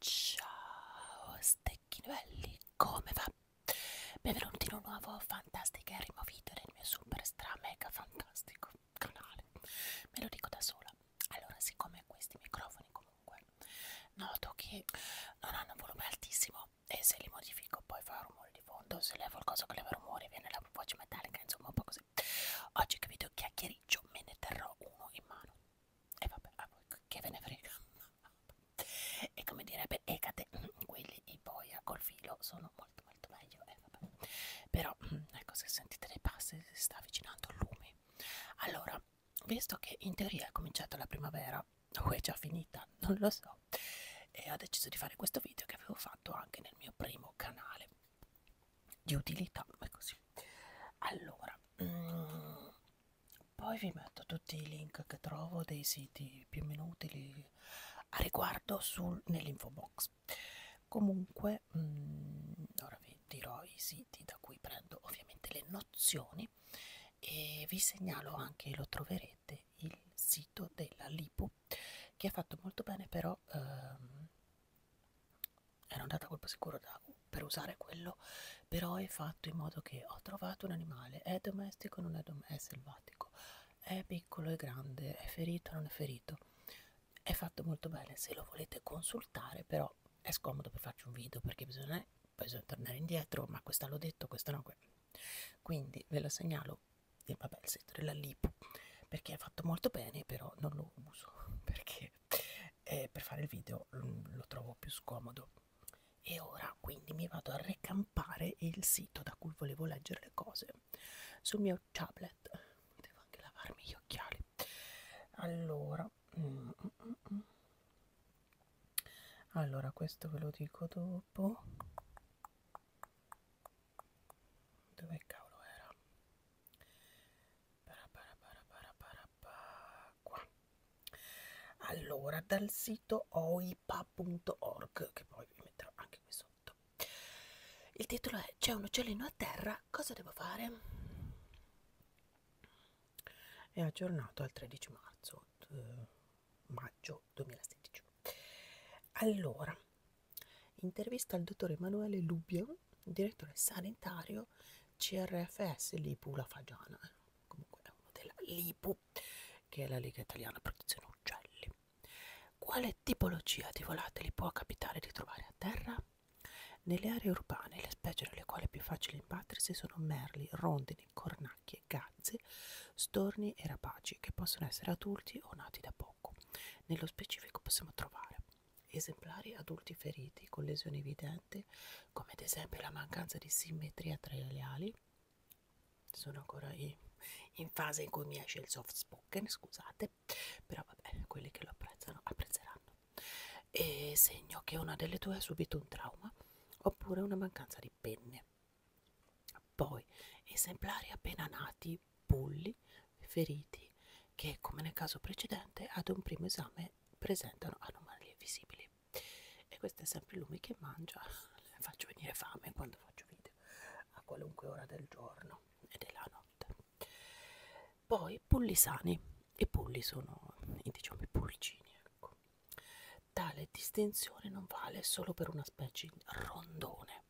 Ciao stecchini belli, come va? Benvenuti in un nuovo fantastico e rimovito nel mio super stra mega fantastico canale. Me lo dico da sola. Allora, siccome questi microfoni comunque noto che non hanno un volume altissimo e se li modifico poi fa rumore di fondo se levo il coso che leva rumore viene la voce metallica insomma un po' così oggi che video chiacchiericcio me ne terrò uno in mano e vabbè a voi che ve ne frega e come direbbe Ecate quelli di boia col filo sono molto molto meglio eh, vabbè. però ecco se sentite dei passi si sta avvicinando il lume allora visto che in teoria è cominciata la primavera o è già finita, non lo so, e ho deciso di fare questo video che avevo fatto anche nel mio primo canale di utilità, ma così. Allora, mm, poi vi metto tutti i link che trovo dei siti più o meno utili a riguardo nell'info box. Comunque, mm, ora vi vi dirò i siti da cui prendo ovviamente le nozioni e vi segnalo anche, lo troverete, il sito della Lipu che ha fatto molto bene però ehm, ero andata a colpo sicuro da, per usare quello però è fatto in modo che ho trovato un animale è domestico non è, dom è selvatico è piccolo e grande è ferito non è ferito è fatto molto bene se lo volete consultare però è scomodo per farci un video perché bisogna, bisogna tornare indietro, ma questa l'ho detto, questa no. Quindi ve la segnalo, e vabbè il set della Lipo, perché è fatto molto bene, però non lo uso, perché eh, per fare il video lo, mm, lo trovo più scomodo. E ora quindi mi vado a recampare il sito da cui volevo leggere le cose sul mio tablet. Devo anche lavarmi gli occhiali. Allora, Mm, mm, mm, allora questo ve lo dico dopo dove cavolo era para para para para para para qua allora dal sito oipa.org che poi vi metterò anche qui sotto il titolo è c'è un uccellino a terra cosa devo fare è aggiornato al 13 marzo eh, maggio 2016 allora intervista al dottor Emanuele Lubbio direttore sanitario CRFS Lipu La Fagiana comunque è uno della Lipu che è la Lega Italiana Protezione Uccelli quale tipologia di volatili può capitare di trovare a terra? Nelle aree urbane le specie nelle quali è più facile imbattersi sono merli, rondini, cornacchie, gazze, storni e rapaci che possono essere adulti o nati da poco. Nello specifico possiamo trovare esemplari adulti feriti con lesioni evidenti come ad esempio la mancanza di simmetria tra le ali. Sono ancora in, in fase in cui mi esce il soft spoken, scusate, però vabbè, quelli che lo apprezzano apprezzeranno e segno che una delle due ha subito un trauma oppure una mancanza di penne. Poi esemplari appena nati, bulli, feriti, che come nel caso precedente ad un primo esame presentano anomalie visibili. E questo è sempre lui che mangia, Le faccio venire fame quando faccio video, a qualunque ora del giorno e della notte poi polli sani i polli sono diciamo i pulcini ecco. tale distinzione non vale solo per una specie rondone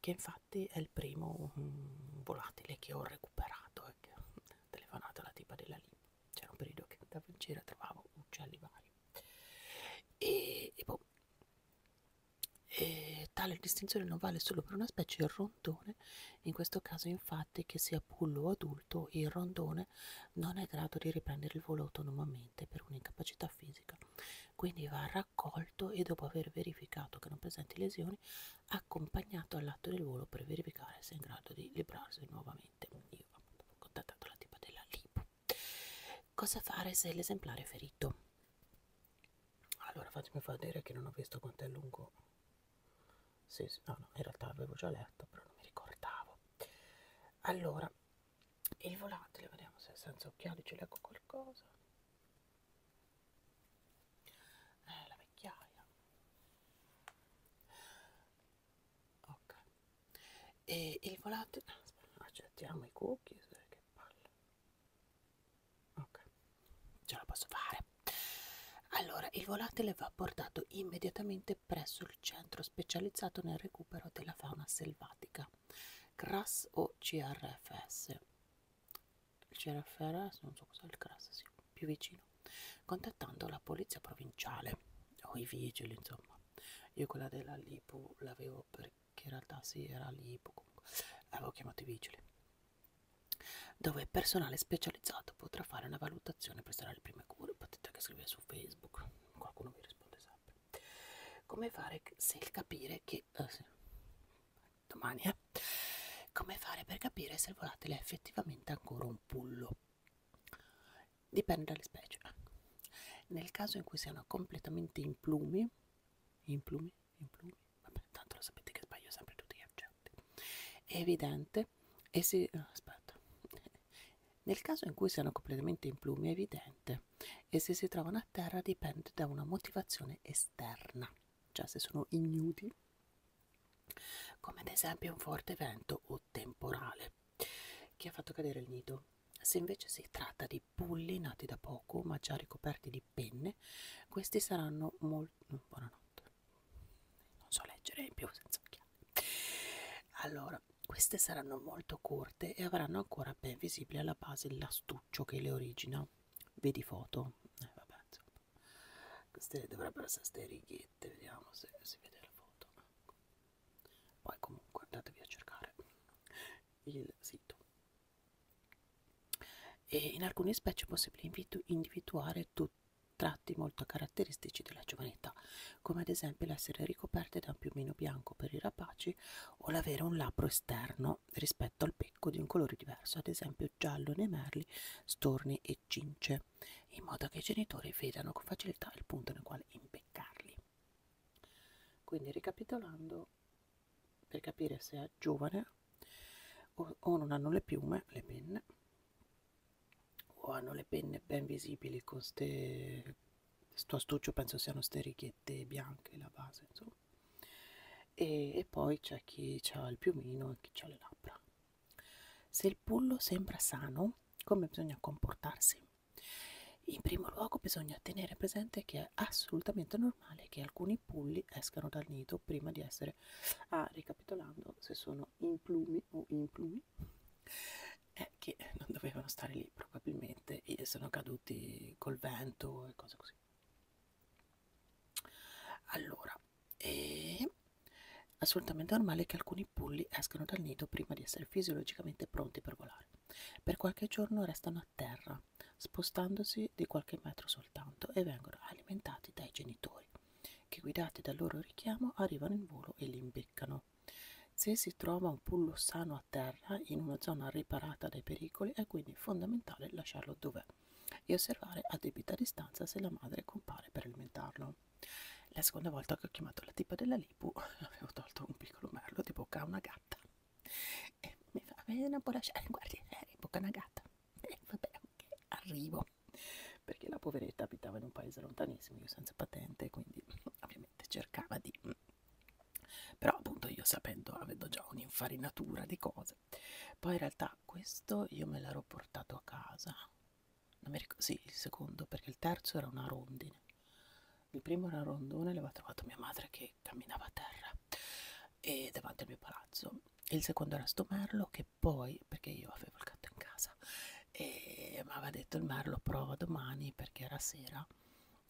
che infatti è il primo um, volatile che ho recuperato ecco. Eh, telefonata alla tipa della lì c'era un periodo che andavo in giro e trovavo uccelli vari e, e, boh. e tale distinzione non vale solo per una specie rondone rondone, in questo caso infatti che sia pullo o adulto il rondone non è in grado di riprendere il volo autonomamente per un'incapacità fisica, quindi va raccolto e dopo aver verificato che non presenti lesioni accompagnato all'atto del volo per verificare se è in grado di librarsi nuovamente. Io ho contattato la tipa della LIPO. Cosa fare se l'esemplare è ferito? Allora fatemi fare dire che non ho visto quanto è lungo sì, sì, no, no, in realtà avevo già letto, però non mi ricordavo. Allora, il volatile, vediamo se senza occhiali ci leggo qualcosa. Eh, la vecchiaia. Ok. E il volatile... Aspetta, accettiamo i cookies, eh, che palle. Ok ce la posso fare allora il volatile va portato immediatamente presso il centro specializzato nel recupero della fauna selvatica CRAS o CRFS il CRFS non so cos'è il CRAS sì, più vicino contattando la polizia provinciale o i vigili insomma io quella della Lipo l'avevo perché in realtà si sì, era Lipo comunque avevo chiamato i vigili dove il personale specializzato potrà fare una valutazione prestare le prime cure potete anche scrivere su facebook qualcuno vi risponde sempre come fare se capire che eh, sì, domani eh, come fare per capire se il volatile è effettivamente ancora un pullo dipende dalle specie nel caso in cui siano completamente in plumi in plumi in plumi vabbè tanto lo sapete che sbaglio sempre tutti eh, cioè importante. È evidente, e si, no, aspetta. Nel caso in cui siano completamente in plumi è evidente e se si trovano a terra dipende da una motivazione esterna, cioè se sono ignudi, come ad esempio un forte vento o temporale che ha fatto cadere il nido. Se invece si tratta di bulli nati da poco ma già ricoperti di penne, questi saranno molto... buonanotte non so leggere in più senza occhiali allora queste saranno molto corte e avranno ancora ben visibile alla base l'astuccio che le origina vedi foto eh, vabbè, queste dovrebbero essere ste righette vediamo se si vede la foto poi comunque andatevi a cercare il sito e in alcune specie è possibile individuare tutti tratti molto caratteristici della giovanità, come ad esempio l'essere ricoperte da un piumino bianco per i rapaci o l'avere un labbro esterno rispetto al becco di un colore diverso, ad esempio giallo nei merli, storni e cince, in modo che i genitori vedano con facilità il punto nel quale impeccarli. Quindi ricapitolando, per capire se è giovane o, o non hanno le piume, le penne, Oh, hanno le penne ben visibili con ste sto astuccio penso siano ste righette bianche la base insomma e, e poi c'è chi ha il piumino e chi ha le labbra se il pullo sembra sano come bisogna comportarsi in primo luogo bisogna tenere presente che è assolutamente normale che alcuni pulli escano dal nido prima di essere sempre ah ricapitolando se sono in plumi o in plumi eh, che non dovevano stare lì probabilmente e sono caduti col vento e cose così allora è assolutamente normale che alcuni pulli escano dal nido prima di essere fisiologicamente pronti per volare per qualche giorno restano a terra spostandosi di qualche metro soltanto e vengono alimentati dai genitori che guidati dal loro richiamo arrivano in volo e li imbeccano. Se si trova un pullo sano a terra in una zona riparata dai pericoli è quindi fondamentale lasciarlo dov'è e osservare a debita distanza se la madre compare per alimentarlo. La seconda volta che ho chiamato la tipa della Lipu avevo tolto un piccolo merlo di bocca a una gatta e mi fa, non può lasciare, guardi, è eh, di bocca a una gatta. E eh, vabbè, ok, arrivo perché la poveretta abitava in un paese lontanissimo, io senza patente, quindi ovviamente cercava di... Mm. Però appunto io sapendo, avendo già un'infarinatura di cose. Poi in realtà questo io me l'ero portato a casa. Non mi ricordo, sì, il secondo, perché il terzo era una rondine. Il primo era un rondone, l'aveva trovato mia madre che camminava a terra e davanti al mio palazzo. Il secondo era sto merlo, che poi, perché io avevo il gatto in casa, e mi aveva detto il merlo prova domani perché era sera,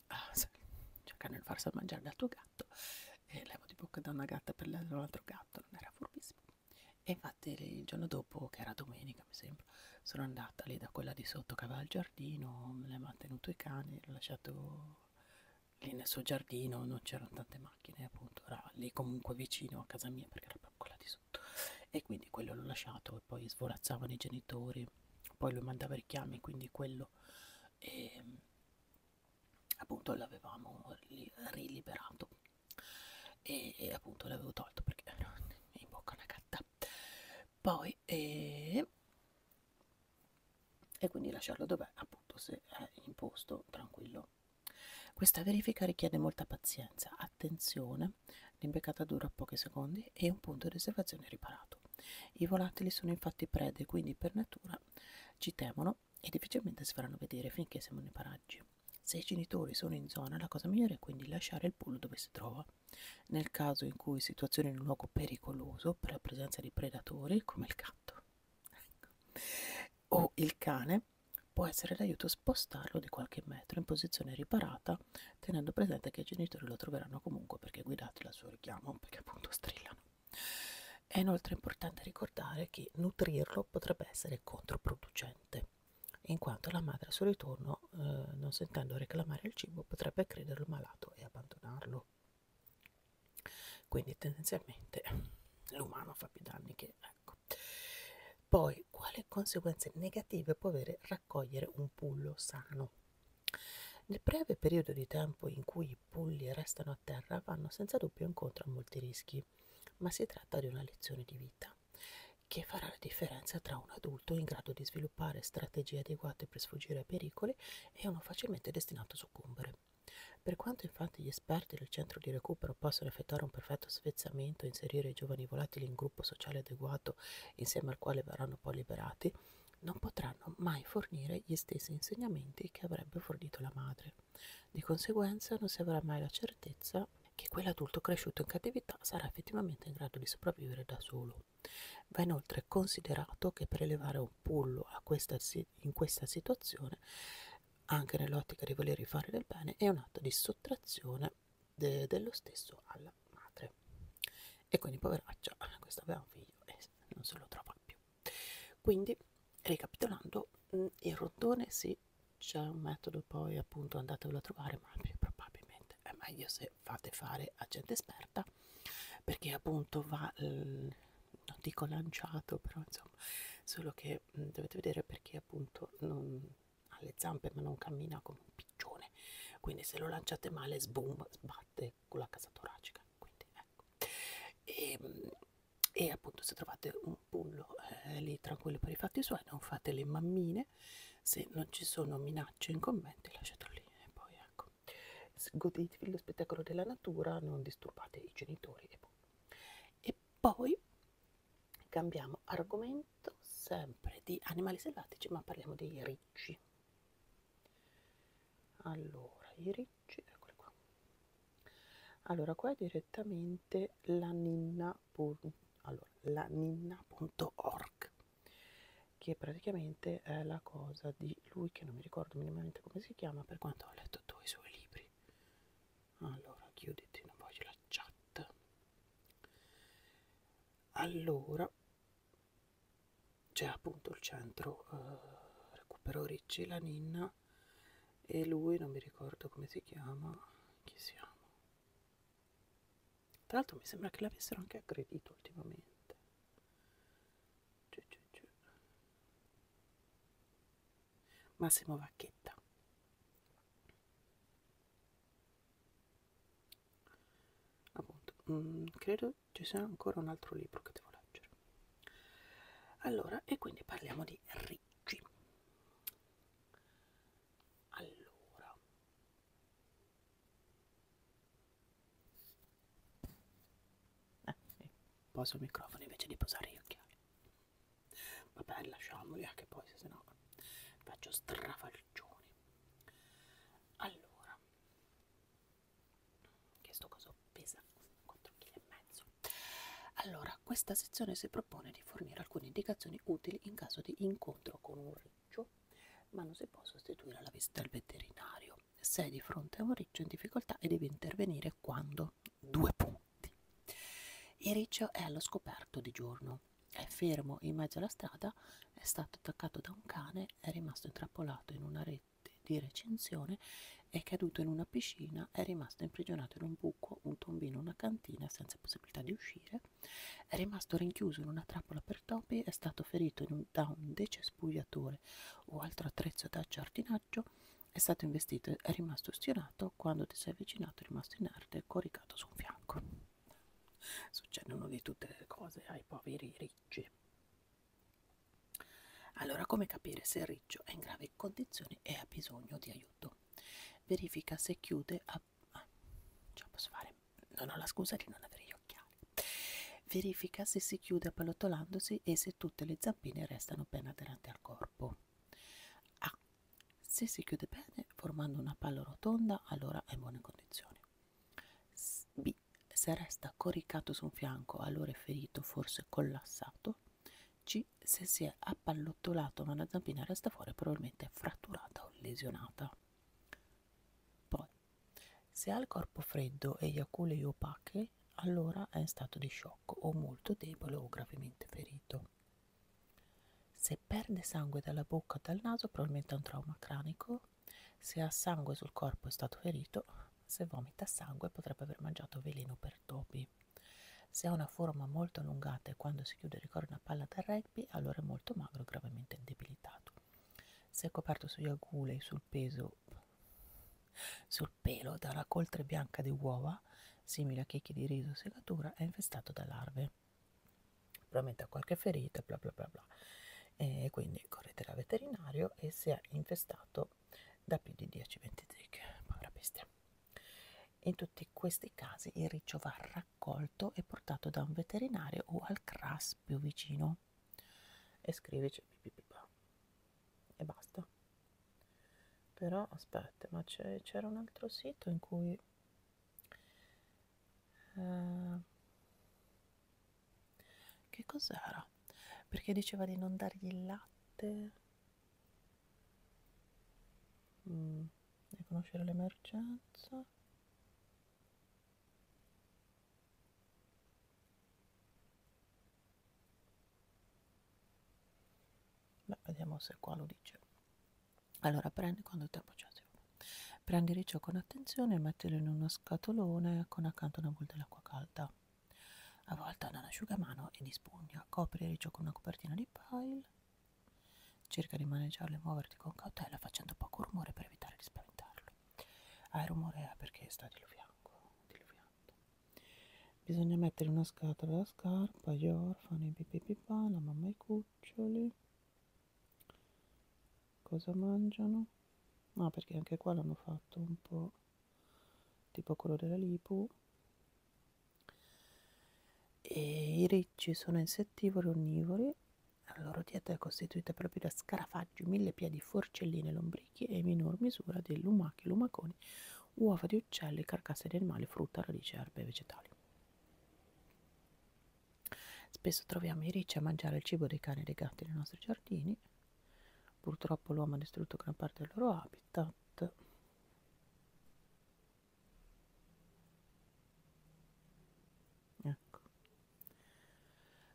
ah, cercando di farsi mangiare dal tuo gatto, e levo di bocca da una gatta per l'altro gatto, non era furbissimo. E infatti il giorno dopo, che era domenica mi sembra, sono andata lì da quella di sotto che aveva il giardino, me l'ha tenuto i cani, l'ho lasciato lì nel suo giardino, non c'erano tante macchine appunto era lì comunque vicino a casa mia perché era proprio quella di sotto e quindi quello l'ho lasciato e poi svolazzavano i genitori poi lui mandava richiami quindi quello e, appunto l'avevamo riliberato e, e appunto l'avevo tolto perché no, mi bocca una gatta poi e, e quindi lasciarlo dov'è appunto se è in posto tranquillo questa verifica richiede molta pazienza, attenzione, l'imbeccata dura pochi secondi e un punto di osservazione riparato. I volatili sono infatti prede, quindi per natura ci temono e difficilmente si faranno vedere finché siamo nei paraggi. Se i genitori sono in zona, la cosa migliore è quindi lasciare il pollo dove si trova. Nel caso in cui situazione in un luogo pericoloso per la presenza di predatori, come il gatto. Ecco o il cane, può essere d'aiuto spostarlo di qualche metro in posizione riparata, tenendo presente che i genitori lo troveranno comunque perché guidati al suo richiamo, perché appunto strillano. È inoltre importante ricordare che nutrirlo potrebbe essere controproducente, in quanto la madre al suo ritorno, eh, non sentendo reclamare il cibo, potrebbe crederlo malato e abbandonarlo. Quindi tendenzialmente l'umano fa più danni che Ecco. Poi, quali conseguenze negative può avere raccogliere un pullo sano? Nel breve periodo di tempo in cui i pulli restano a terra vanno senza dubbio incontro a molti rischi, ma si tratta di una lezione di vita che farà la differenza tra un adulto in grado di sviluppare strategie adeguate per sfuggire ai pericoli e uno facilmente destinato a soccombere. Per quanto infatti gli esperti del centro di recupero possono effettuare un perfetto svezzamento e inserire i giovani volatili in gruppo sociale adeguato insieme al quale verranno poi liberati, non potranno mai fornire gli stessi insegnamenti che avrebbe fornito la madre. Di conseguenza non si avrà mai la certezza che quell'adulto cresciuto in cattività sarà effettivamente in grado di sopravvivere da solo. Va inoltre considerato che per elevare un pullo a questa in questa situazione, anche nell'ottica di volergli fare del bene, è un atto di sottrazione de dello stesso alla madre. E quindi, poveraccia, questa aveva un figlio e non se lo trova più. Quindi, ricapitolando, mm, il rondone sì, c'è un metodo, poi appunto andatevelo a trovare, ma più probabilmente è meglio se fate fare a gente esperta perché appunto va, eh, non dico lanciato, però insomma, solo che vedere, mm, dovete vedere perché appunto non, ha le zampe ma non cammina come un piccione, quindi se lo lanciate male sboom, sbatte con la casa toracica. Quindi, ecco. e, mm, e appunto se trovate un pullo eh, lì tranquillo per i fatti suoi, non fate le mammine, se non ci sono minacce in commenti lasciatelo lì e poi ecco, godetevi lo spettacolo della natura, non disturbate i genitori e, e poi cambiamo argomento sempre di animali selvatici, ma parliamo dei ricci. Allora, i ricci, eccoli qua. Allora, qua è direttamente la ninna.org, allora, ninna che praticamente è eh, la cosa di lui che non mi ricordo minimamente come si chiama, per quanto ho letto tutti i suoi libri allora chiuditi non voglio la chat allora c'è appunto il centro eh, recupero ricci la ninna e lui non mi ricordo come si chiama chi siamo tra l'altro mi sembra che l'avessero anche aggredito ultimamente Massimo Vacchetta. Appunto, mh, mm, credo ci sia ancora un altro libro che devo leggere. Allora, e quindi parliamo di Ricci. Allora, eh, poso il microfono invece di posare gli occhiali. Vabbè, lasciamoli anche poi, se no faccio strafalcioni. Allora, che sto coso pesa 4 kg e mezzo. Allora, questa sezione si propone di fornire alcune indicazioni utili in caso di incontro con un riccio, ma non si può sostituire la visita al veterinario. Se è di fronte a un riccio in difficoltà e devi intervenire quando due punti. E Riccio è allo scoperto di giorno. È fermo in mezzo alla strada, è stato attaccato da un cane, è rimasto intrappolato in una rete di recinzione, è caduto in una piscina, è rimasto imprigionato in un buco, un tombino, una cantina senza possibilità di uscire, è rimasto rinchiuso in una trappola per topi, è stato ferito un, da un decespugliatore o altro attrezzo da giardinaggio personaggio è stato investito è rimasto ustionato quando ti sei avvicinato è rimasto inerte e coricato su un fianco succedono di tutte le cose ai poveri ricci allora come capire se il riccio è in gravi condizioni e ha bisogno di aiuto verifica se chiude a... ah, ce la posso fare non ho la scusa di non avere gli occhiali verifica se si chiude appallottolandosi e se tutte le zampine restano ben aderenti al corpo Ah, se si chiude bene formando una palla rotonda, allora è in buone condizioni. B. Se resta coricato su un fianco, allora è ferito, forse collassato. C. Se si è appallottolato ma la zampina resta fuori, probabilmente è fratturata o lesionata. Poi, se ha il corpo freddo e gli aculei opache, e allora è in stato di shock o molto debole o gravemente ferito. Se perde sangue dalla bocca o dal naso probabilmente ha un trauma cranico, se ha sangue sul corpo è stato ferito, se vomita sangue potrebbe aver mangiato veleno per topi. Se ha una forma molto allungata e quando si chiude ricorda una palla da rugby, allora è molto magro e gravemente indebilitato. Se è coperto sugli agulei, sul peso, sul sul pelo dalla coltre bianca di uova, simile a chicchi di riso o segatura, è infestato da larve. Probabilmente ha qualche ferita, bla bla bla bla. E quindi correte dal veterinario e se è infestato da più di 10-20 zecche, povera bestia. In tutti questi casi il riccio va raccolto e portato da un veterinario o al CRAS più vicino. E scrivici cioè, pipipipa e basta però aspetta ma c'era un altro sito in cui eh, che cos'era perché diceva di non dargli il latte mm, di conoscere l'emergenza Beh, vediamo se qua lo dice. Allora, prendi quando ti appoggiati. Prendi il riccio con attenzione e mettilo in uno scatolone con accanto una bolla d'acqua calda. Avvolta da un asciugamano e di spugna. Copri il riccio con una copertina di pile. Cerca di maneggiarlo e muoverti con cautela facendo poco rumore per evitare di spaventarlo. Ah, il rumore è eh, perché sta diluviando. diluviando bisogna mettere una scatola la scarpa, gli orfani, pipipipà, la mamma e i cuccioli cosa mangiano? Ah, perché anche qua l'hanno fatto un po' tipo quello della Lipu. E i ricci sono insettivori onnivori, la loro dieta è costituita proprio da scarafaggi, millepiedi, forcelline, lombrichi e in minor misura di lumache, lumaconi, uova di uccelli, carcasse di animali, frutta, radici, erbe e vegetali. Spesso troviamo i ricci a mangiare il cibo dei cani e dei gatti nei nostri giardini. Purtroppo l'uomo ha distrutto gran parte del loro habitat. Ecco.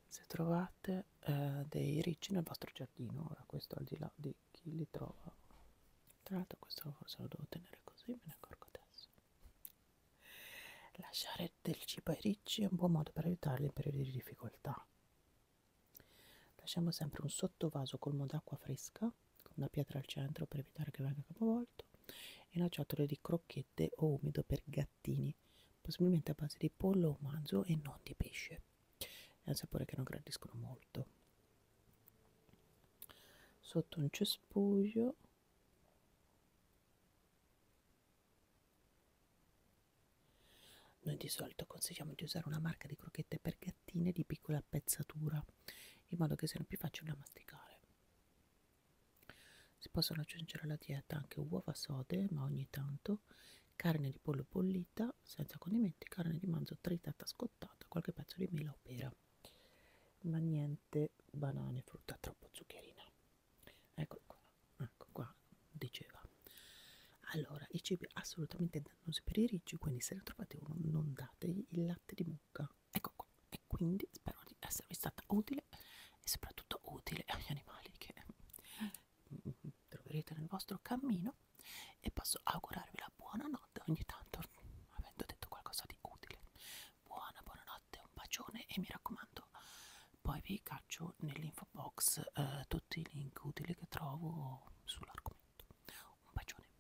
Se trovate eh, dei ricci nel vostro giardino, ora questo al di là di chi, chi li trova tra l'altro questo forse lo devo tenere così me ne accorgo adesso lasciare del cibo ai ricci è un buon modo per aiutarli in periodi di difficoltà lasciamo sempre un sottovaso colmo d'acqua fresca con una pietra al centro per evitare che venga capovolto e una ciotola di crocchette o umido per gattini possibilmente a base di pollo o manzo e non di pesce è un sapore che non gradiscono molto sotto un cespuglio noi di solito consigliamo di usare una marca di crocchette per gattine di piccola pezzatura in modo che siano più facili da masticare si possono aggiungere alla dieta anche uova sode ma ogni tanto carne di pollo bollita senza condimenti, carne di manzo tritata scottata, qualche pezzo di mela o pera. Ma niente banane, frutta troppo zuccherina. Ecco qua, ecco qua, diceva. Allora, i cibi assolutamente dannosi per i ricci, quindi se ne trovate uno non dategli il latte di mucca. Ecco qua. E quindi spero di esservi stata utile e soprattutto utile agli animali che troverete nel vostro cammino e posso augurarvi la buonanotte ogni tanto avendo detto qualcosa di utile buona buonanotte un bacione e mi raccomando poi vi caccio nell'info box eh, tutti i link utili che trovo sull'argomento un bacione